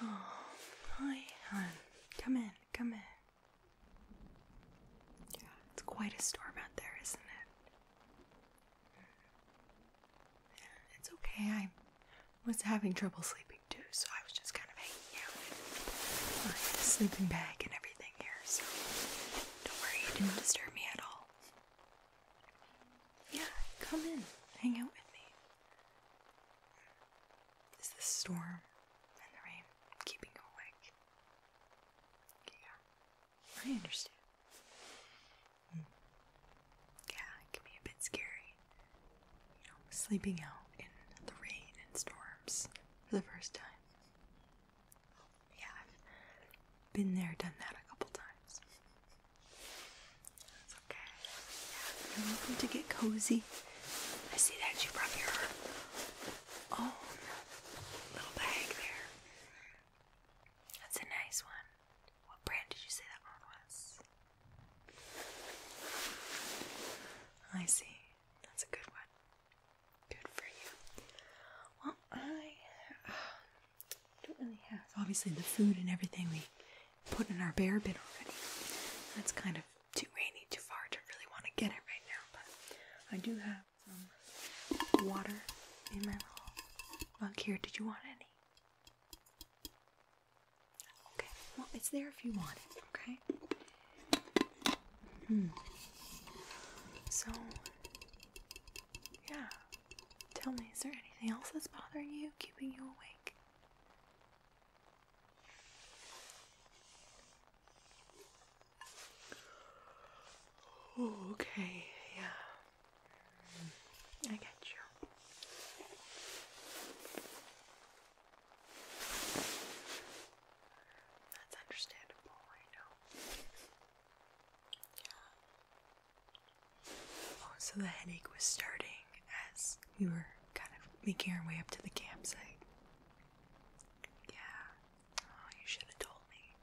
hi, oh, hon. Come in, come in. Yeah, it's quite a storm out there, isn't it? it's okay. I was having trouble sleeping too, so I was just kind of hanging out in my sleeping bag and everything here, so don't worry, you didn't disturb me at all. Yeah, come in. Hang out with me. Is the storm and the rain keeping you awake? Yeah, I understand. Hmm. Yeah, it can be a bit scary. You know, sleeping out in the rain and storms for the first time. Yeah, been there, done that a couple times. That's okay. Yeah, you're welcome to get cozy. I see that you brought your own little bag there. That's a nice one. What brand did you say that was? I see. That's a good one. Good for you. Well, I uh, don't really have. Obviously, the food and everything we put in our bear bin already. That's kind of too rainy, too far to really want to get it right now. But I do have some water in my little mug here. Did you want any? Okay. Well, it's there if you want it. Okay. Hmm. So yeah. Tell me, is there anything else that's bothering you, keeping you awake? okay, yeah. I get you. That's understandable, I Yeah. So the headache was starting as we were kind of making our way up to the campsite. Yeah. Oh, you should have told me.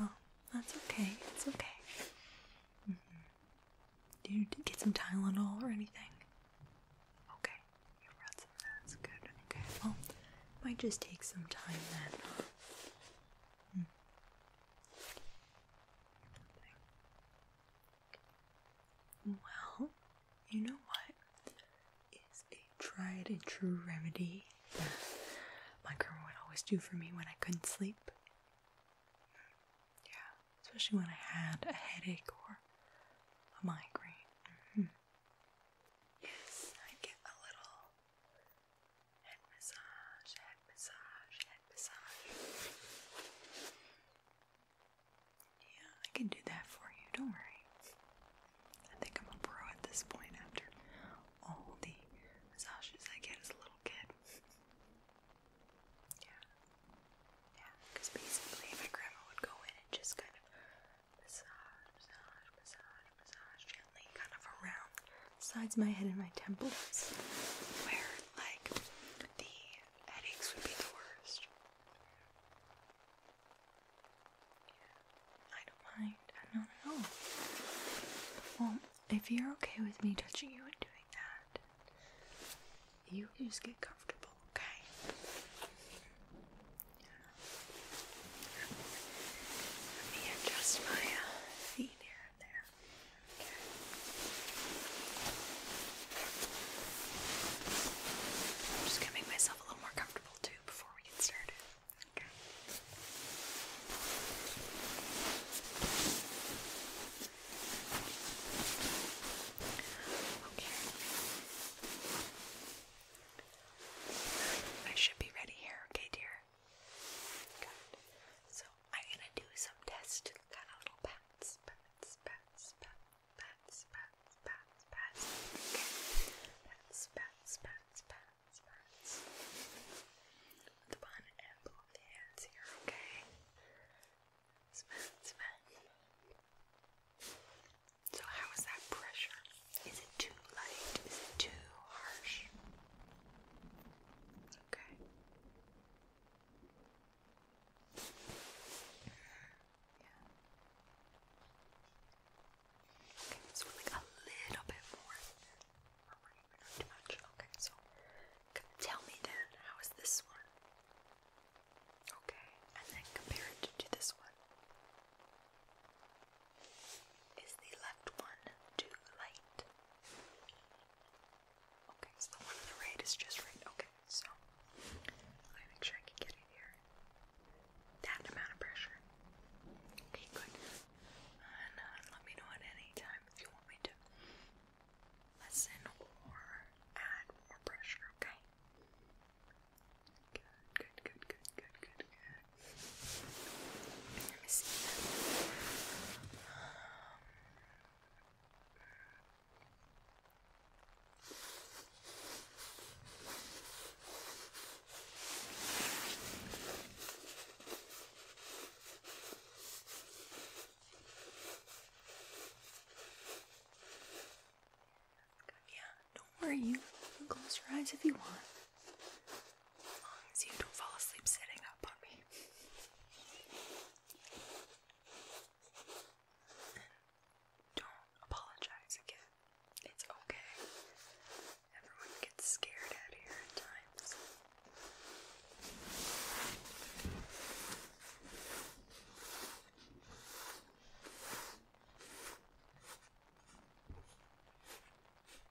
Oh, that's okay. It's okay. Mm-hmm. Did you get some Tylenol or anything? Okay, you brought some. That's good. Okay. Well, might just take some time then. Mm. Well, you know what is a tried and true remedy that my grandma would always do for me when I couldn't sleep? Yeah, especially when I had a headache or a migraine. Mm-hmm. Yes, I get a little Head massage, head massage, head massage. Yeah, I can do that for you, don't worry. I think I'm a pro at this point after all the massages I get as a little kid. Yeah. Yeah, because basically my grandma would go in and just kind of massage, massage, massage, massage gently kind of around sides my head and my temples where like the headaches would be the worst. I don't mind. I don't Well, if you're okay with me touching you and doing that, you just get comfortable, okay? Let me adjust my uh, here there. Okay. I'm just going myself a little more comfortable too before we get started. Okay. Okay. I should be ready here, okay, dear. Good. So I'm gonna do some tests, kind of little pats, pats, pats, pats, pats, pats, pats, pats. Okay. Pats, pats, pats, pats, pats. With one and both hands here, okay? Pats, pats, So how is that pressure? Is it too light? Is it too harsh? Okay. Yeah. Okay, so like a little bit more. Or we're too much. Okay, so tell me then, how is this one? Okay, and then compare it to this one. Is the left one too light? Okay, so the one on the right is just right. Okay, so let me make sure I can get it here. That amount of pressure. Okay, good. And uh, let me know at any time if you want me to lessen or add more pressure, okay? good, good, good, good, good, good. Yeah, don't worry. You can close your eyes if you want. As long as you don't fall asleep sitting up on me. don't apologize again. It's okay. Everyone gets scared out here at times.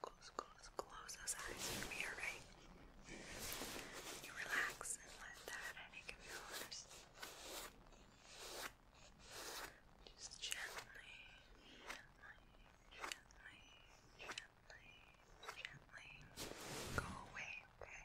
close, close, close those eyes for me, alright? You relax and let that headache of yours just gently, gently, gently, gently, go away, okay?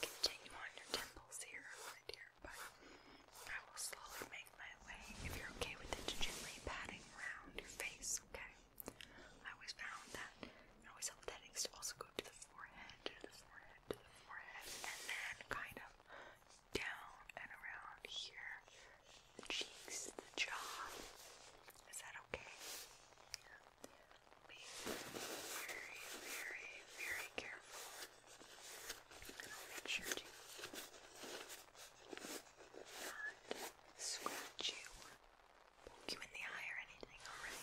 continue on your temples here, my dear, but I will slowly make my way, if you're okay with it, gently patting around your face, okay? I always found that, I always helped that it also go to the forehead, to the forehead, to the forehead, and then kind of down and around here, the cheeks, the jaw. Is that okay? be very, very, very careful. make sure to not scratch you poke you in the eye or anything, alright?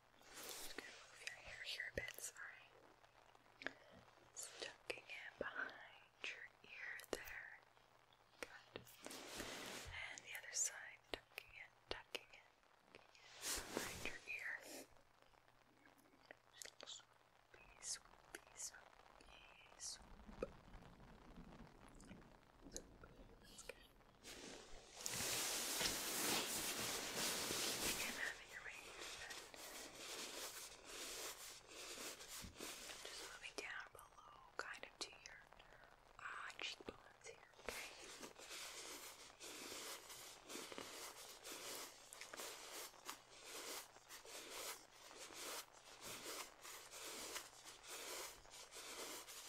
Just gonna move your hair here a bit, sorry. tucking it behind your ear there. Good. And the other side, tucking it, tucking it, behind your ear. Just a little swoopy, that's good. You can have it arranged, but just moving down below, kind of to your uh, cheekbones here, okay? Okay,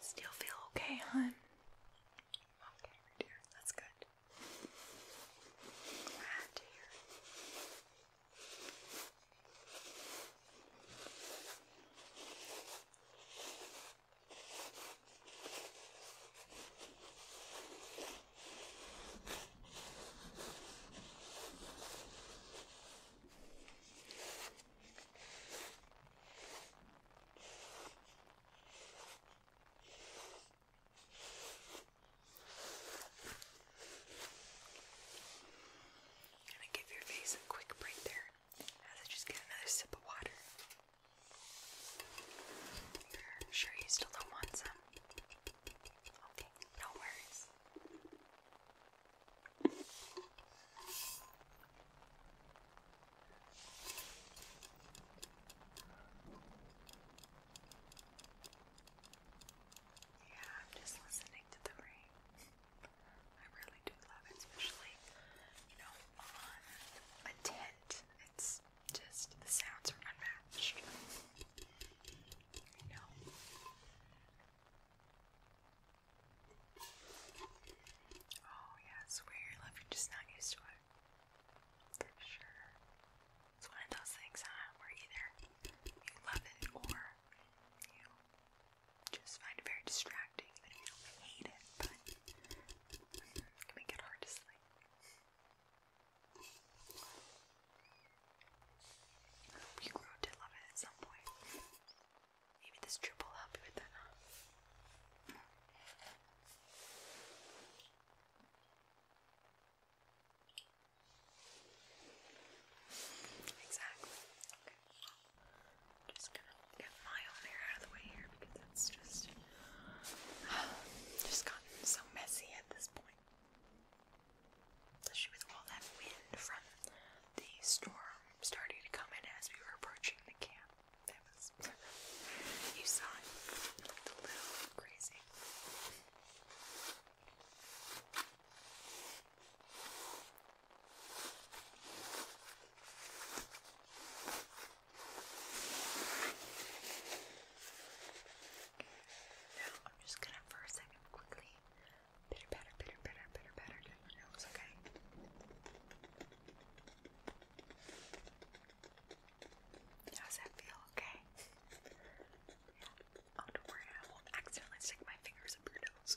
Still feel okay, hon? Okay, dear. That's good. Glad to hear. I'm gonna give your face a quick break there as I just get another sip of water. Sure, you still don't want some? Okay, no worries. Yeah, I'm just listening to the rain. I really do love especially, you know, on a tent. It's just the sounds are unmatched. You know. Oh yeah, weird love, you're just not used to it. For sure. It's one of those things, where either you love it or you just find it very distracting, you do hate it, but mm, it can it hard to sleep. I hope you grow to love it at some point. Maybe this trip will help you with that, Exactly. Okay. Just gonna get my own hair out of the way here because that's just Just gotten so messy at this point. Especially with all that wind from the storm starting to come in as we were approaching the camp. you saw it. little crazy. Now I'm just gonna for a second quickly pitter patter, pitter patter, pitter patter your nose, okay? How's that feel? Okay. Oh, don't worry, I won't accidentally stick my fingers up your nose.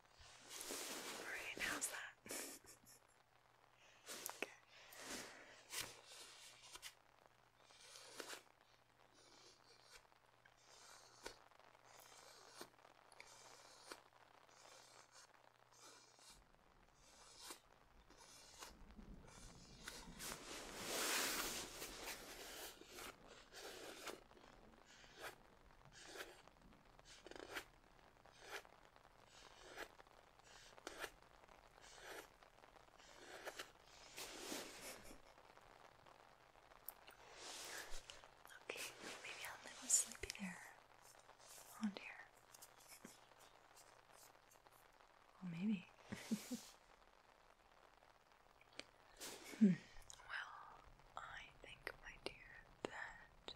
Alright, how's that? okay. Okay. Okay, maybe I'm a little sleepy there. Oh dear. Well, maybe. Hmm. Well, I think, my dear, that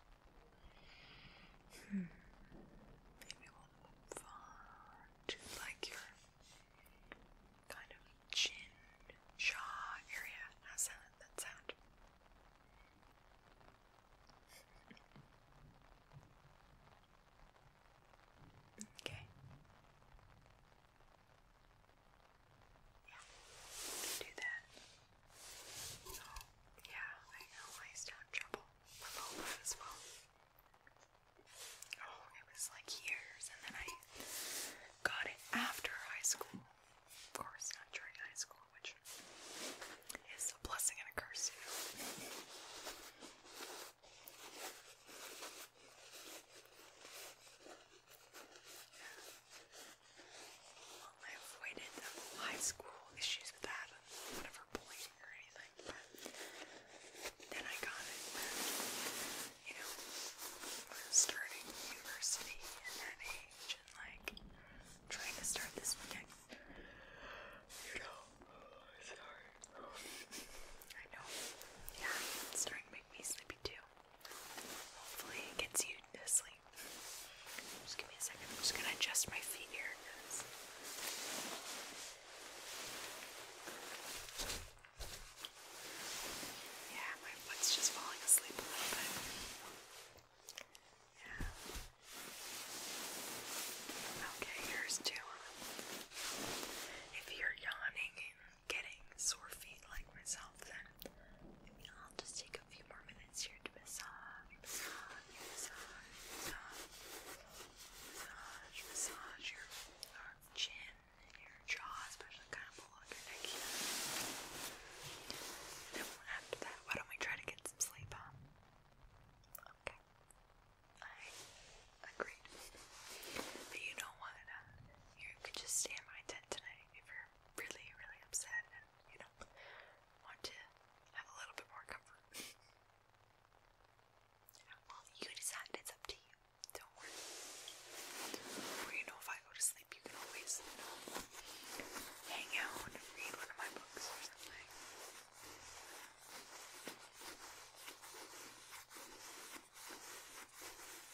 maybe we'll move far to like your kind of chin, jaw area. That sound? Okay. Yeah, do that. Oh, yeah, I know. I still in trouble. My phone as well. Oh, it was like years, and then I got it after high school. Of course, not during high school, which is a blessing and a curse, Yeah. I avoided high school issues with that whatever bullying or anything, but then I got it you know, starting university at that age and like trying to start this next, you know, sorry. I know. Yeah, starting to make me sleepy too. Hopefully it gets you to sleep. Just give me a second. I'm just gonna adjust my feet here. Yeah, my foot's just falling asleep a little bit. Yeah. Okay, here's two. If you're yawning and getting sore feet like myself, then I'll just take a few more minutes here to massage, massage, massage, massage, massage your chin and your jaw, especially kind of below your neck then after that, why don't we try to get some sleep on? Okay. I agreed. But you know what? you could just stay in my tent tonight if you're really, really upset and, you know, want to have a little bit more comfort. well, you decide, it's up to you. Don't worry. Or, you know, if I go to sleep, you can always, you know, hang out and read one of my books or something.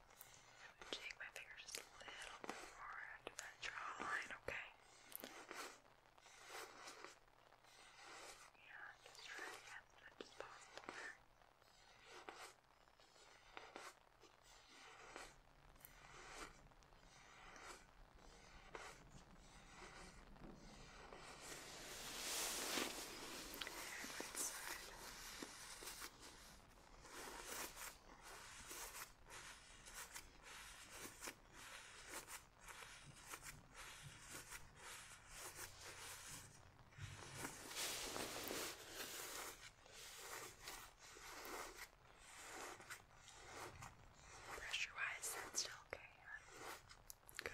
I'm gonna take my finger just a little bit more to that jawline, okay? Yeah, just try to get as much as possible there. Right side. Pressure wise, that's still okay. Huh? Good.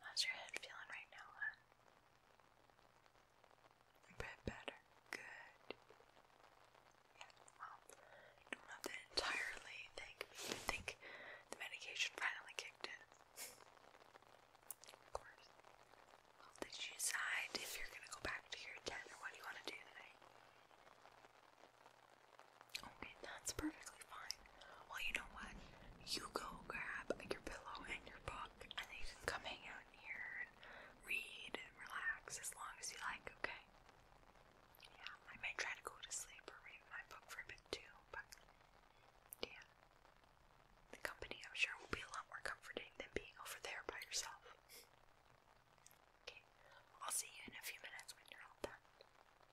How's your head feeling right now, A bit better. Good. Yeah, well, don't have to entirely thank think the medication finally kicked in. Of course. Well, did you decide if you're gonna go back to your den or what do you want to do tonight? Okay, that's perfectly fine. Well, you know what? You go grab your pillow and your book, and then you can come hang out here read and relax as long as you like, okay? Yeah, I might try to go to sleep or read my book for a bit too, but yeah. The company, I'm sure, will be a lot more comforting than being over there by yourself. Okay, I'll see you in a few minutes when you're all done.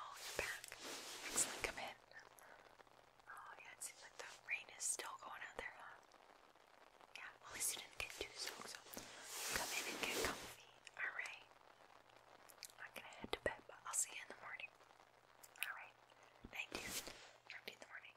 Oh, you're back. Excellent, come in. Oh, yeah, it seems like the rain is still going out there, huh? Yeah, at least you didn't get too soaked, so come in and get comfy, alright? i gonna head to bed, but I'll see you in the morning. Alright, thank you. Talk to you in the morning.